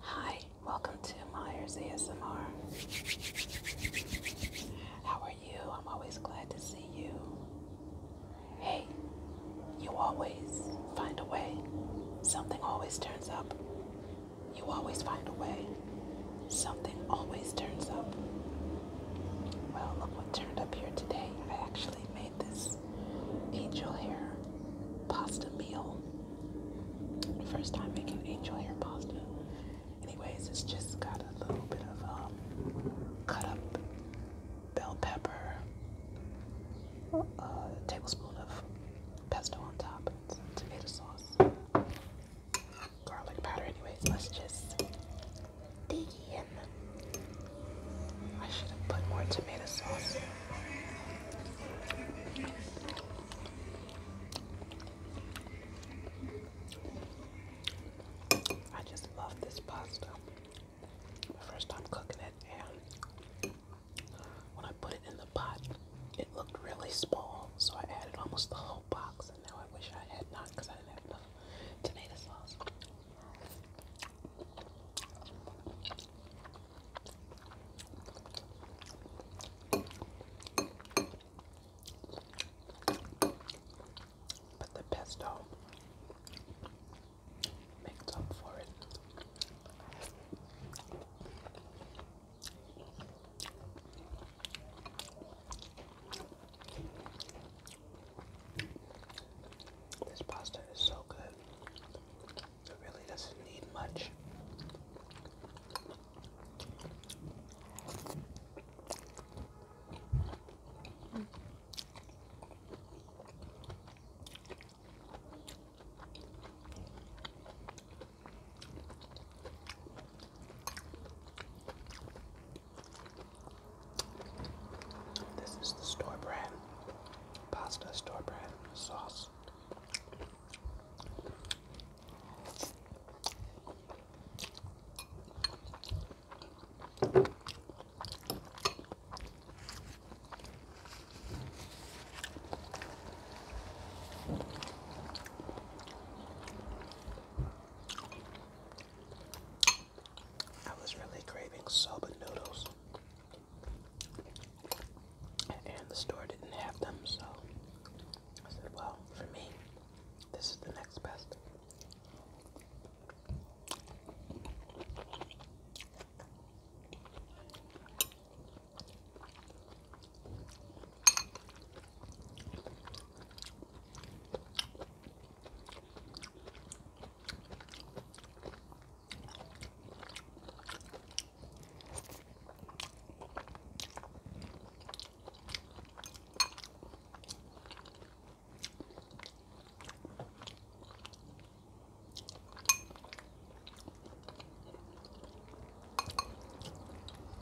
Hi, welcome to Myers ASMR. How are you? I'm always glad to see you. Hey, you always find a way. Something always turns up. You always find a way. Something always turns up. Well, look what turned up here today. I actually made this angel hair pasta meal. First time making angel hair pasta. Anyways, it's just got a little bit of um, cut up bell pepper, uh, a tablespoon of pesto on top, and some tomato sauce, garlic powder. Anyways, let's just dig in. I should have put more tomato sauce. I just love this pasta. My first time cooking it, and when I put it in the pot, it looked really small, so I added almost the whole box, and now I wish I had not because I didn't have enough tomato sauce. But the pesto makes up for it. This pasta is so good it really doesn't need much. This is the store brand pasta store brand sauce. I was really craving soba noodles. And the store didn't have them, so I said, well, for me, this is the next best.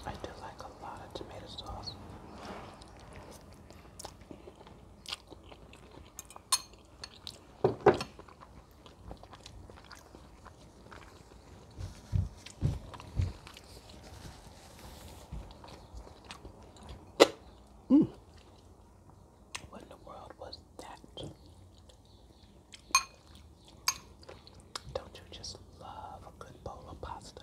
I do like a lot of tomato sauce. Mm. What in the world was that? Don't you just love a good bowl of pasta?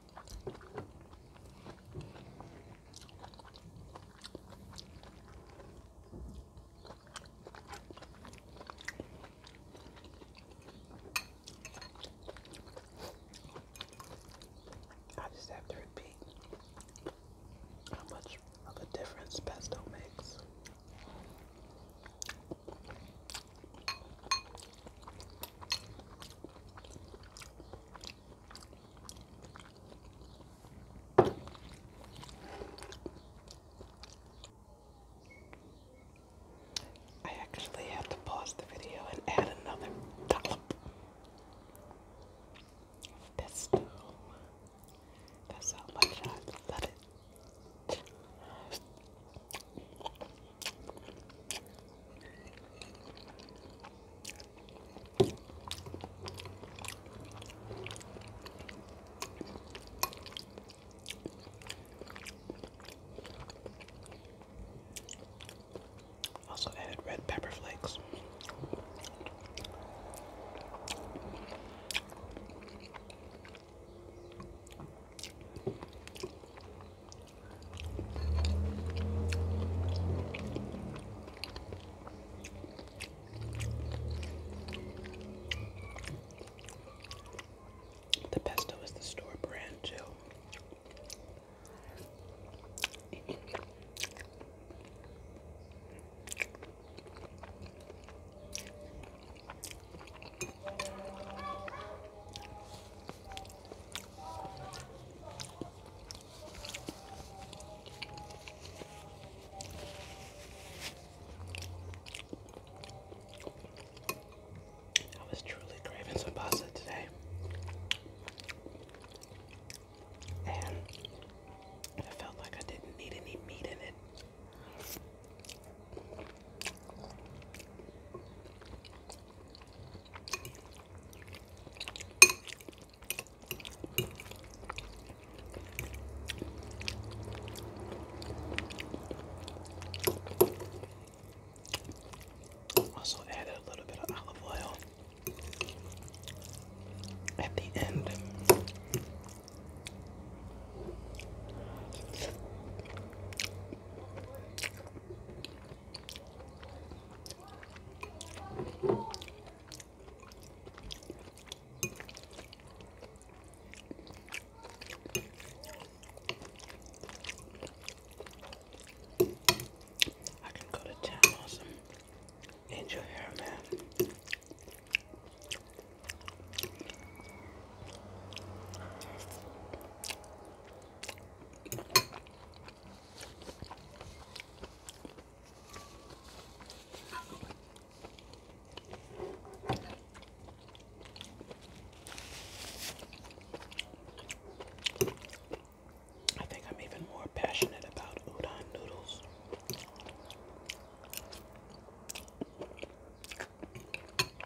I just have to repeat how much of a difference pesto makes. I actually have to pause the video and add another dollop. That's how much I love it. Also added red pepper flakes. The pesto is the store brand too. I was truly craving some pasta today. And I felt like I didn't need any meat in it. Also added a little bit of olive oil at the end. I can go to town on some angel hair, man. I think I'm even more passionate about udon noodles. I'm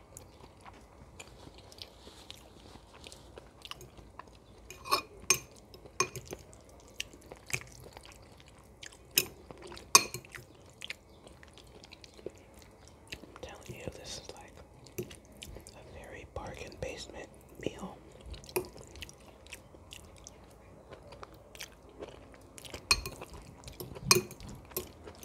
telling you, this is like a very bargain basement meal.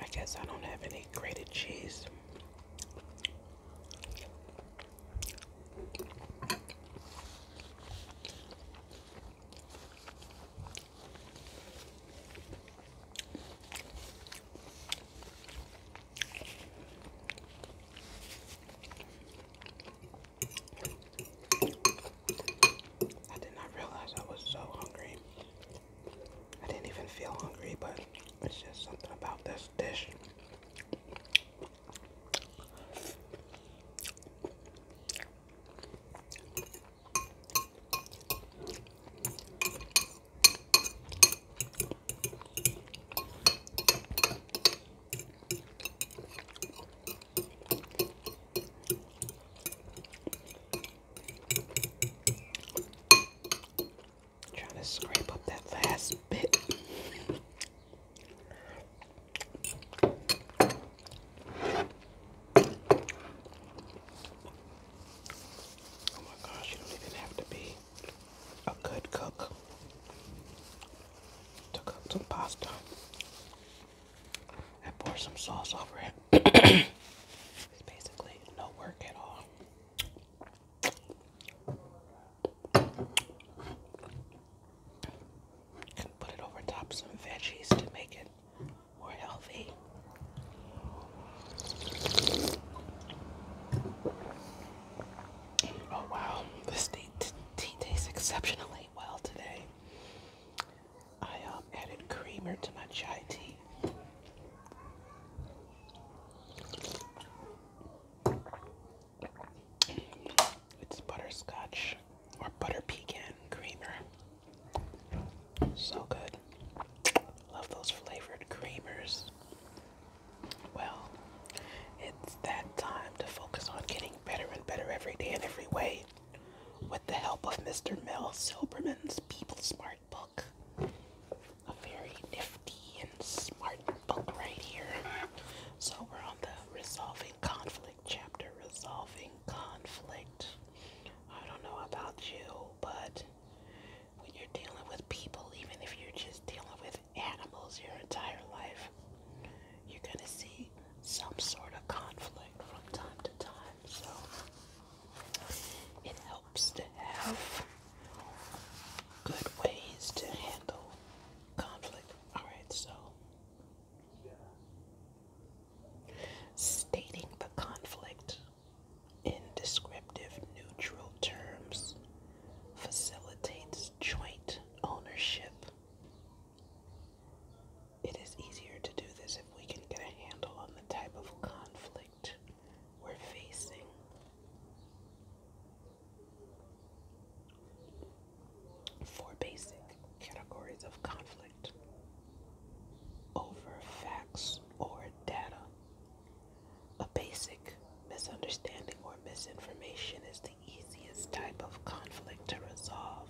I guess I don't have any grated cheese. I did not realize I was so hungry. I didn't even feel hungry, but it's just something about this dish. Trying to scrape up that last bit. Oh my gosh, you don't even have to be a good cook to cook some pasta and pour some sauce over it it's basically no work at all. Can put it over top some veggies to make it more healthy. Oh wow, this tea, tastes exceptionally well today. I um, added creamer to my chai tea. It's butterscotch or butter pecan creamer. So good. Love those flavored creamers. Well, it's that time to focus on getting better and better every day in every way with the help of Mr. Mel Silverman's People Smart book. A very nifty and smart book right here. So we're on the resolving conflict chapter. Resolving conflict. I don't know about you, but when you're dealing with people, even if you're just dealing with animals your entire life, you're gonna see some sort of conflict from time to time. So it helps to have good ways to handle conflict. Alright, so stating the conflict in descriptive neutral terms facilitates joint ownership it is easier to do this if we can get a handle on the type of conflict we're facing. Four basic categories of conflict over facts or data. A basic misunderstanding or misinformation is the easiest type of conflict to resolve.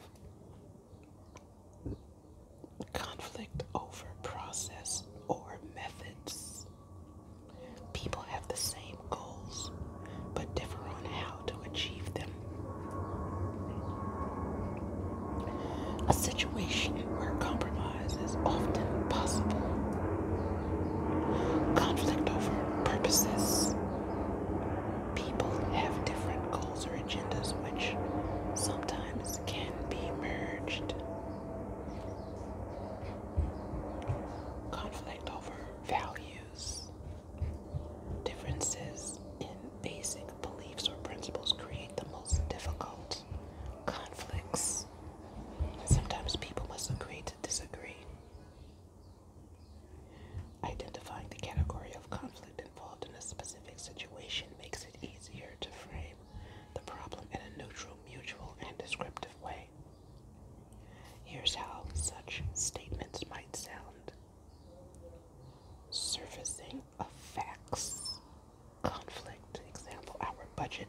Conflict over process or methods. People have the same goals but differ on how to achieve them. A situation where compromise is often possible. Conflict over purposes people have different goals or agendas, which sometimes can be merged. Conflict over values. Differences in basic beliefs or principles create the most difficult conflicts. Sometimes people must agree to disagree. Identifying the category of conflict involved in a specific situation makes it easier to frame the problem in a neutral, mutual, and descriptive way. Here's how such statements might sound surfacing of facts, conflict. Example Our budget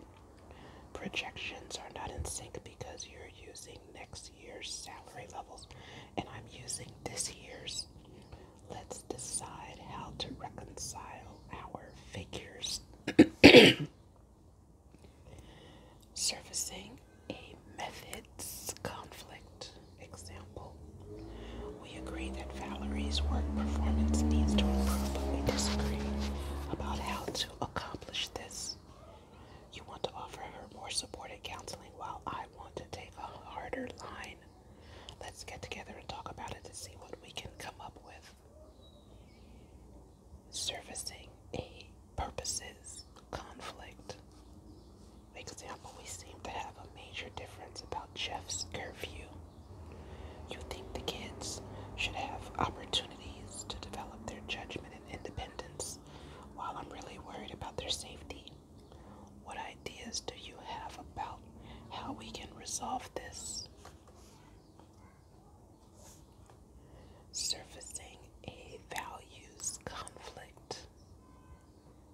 projections are not in sync because you're using next year's salary levels and I'm using this year's. Let's decide how to reconcile our figures. Surfacing a methods conflict. Example We agree that Valerie's work performance needs to improve, but we disagree about how to accomplish this. You want to offer her more supportive counseling while I want to take a harder line. Let's get together and talk about it to see what we can come up with. Servicing a purposes conflict. For example, we seem to have a major difference about Jeff's curfew. You think the kids should have opportunities to develop their judgment and independence while I'm really worried about their safety. What ideas do you have about how we can resolve this? Surfacing a values conflict.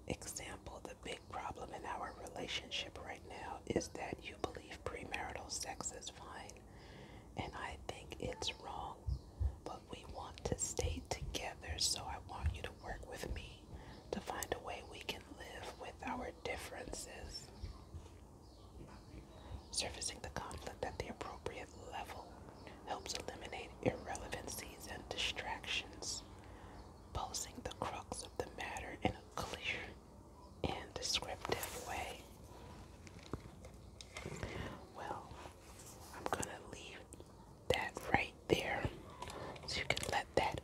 Example The big problem in our relationship right now is that you believe premarital sex is fine and I think it's wrong, but we want to stay together, so I want you to work with me to find a way we can live with our differences. Surfacing the conflict at the appropriate level helps eliminate irrelevancies and distractions, posing the crux of the matter in a clear and descriptive way. Well, I'm gonna leave that right there so you can let that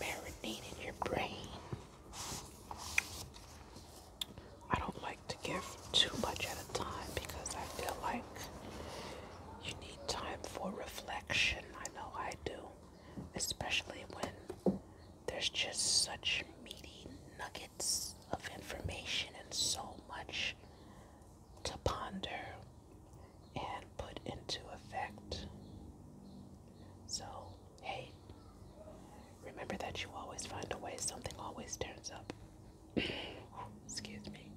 marinate in your brain. I don't like to give too much at a time because I feel like you need time for reflection. I know I do, especially when there's just such meaty nuggets of information and so much to ponder and put into effect. So, hey, remember that you always find a way, something always turns up. Excuse me.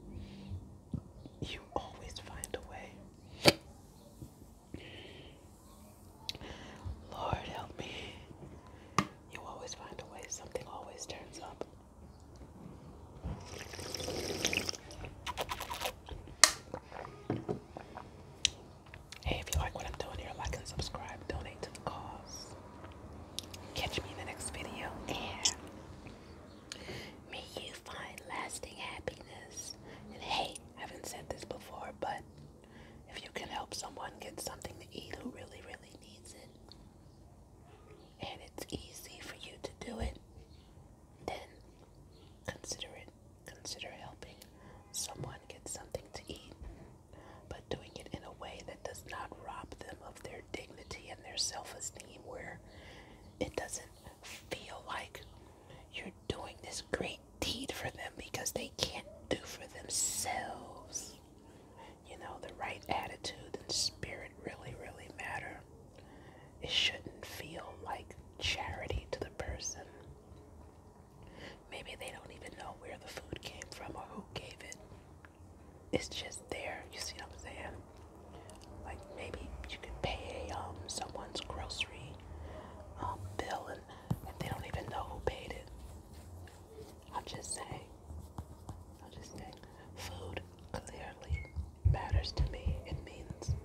You always find a way. Lord help me you always find a way, something always turns up. Hey, if you like what I'm doing here, like and subscribe, donate to the cause. Catch me in the next video, and may you find lasting happiness. And hey, I haven't said this before, but if you can help someone get something to eat who really, really needs it, and it's easy for you to do it, then consider it. Consider helping someone get something to eat, but doing it in a way that does not rob them of their dignity and their self esteem, where it doesn't feel like you're doing this great dictate for them because they can't do for themselves. You know, the right attitude and spirit really, really matter. It shouldn't feel like charity to the person. Maybe they don't even know where the food came from or who gave it. It's just there. You see what I'm saying? Like maybe you can pay a, um, someone's grocery um, bill and they don't even know who paid it. I'll just say, I'll just say, food clearly matters to me. It means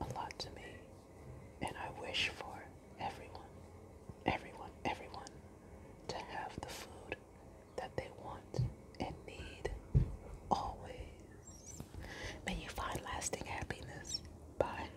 a lot to me. And I wish for everyone, everyone, everyone to have the food that they want and need always. May you find lasting happiness. Bye.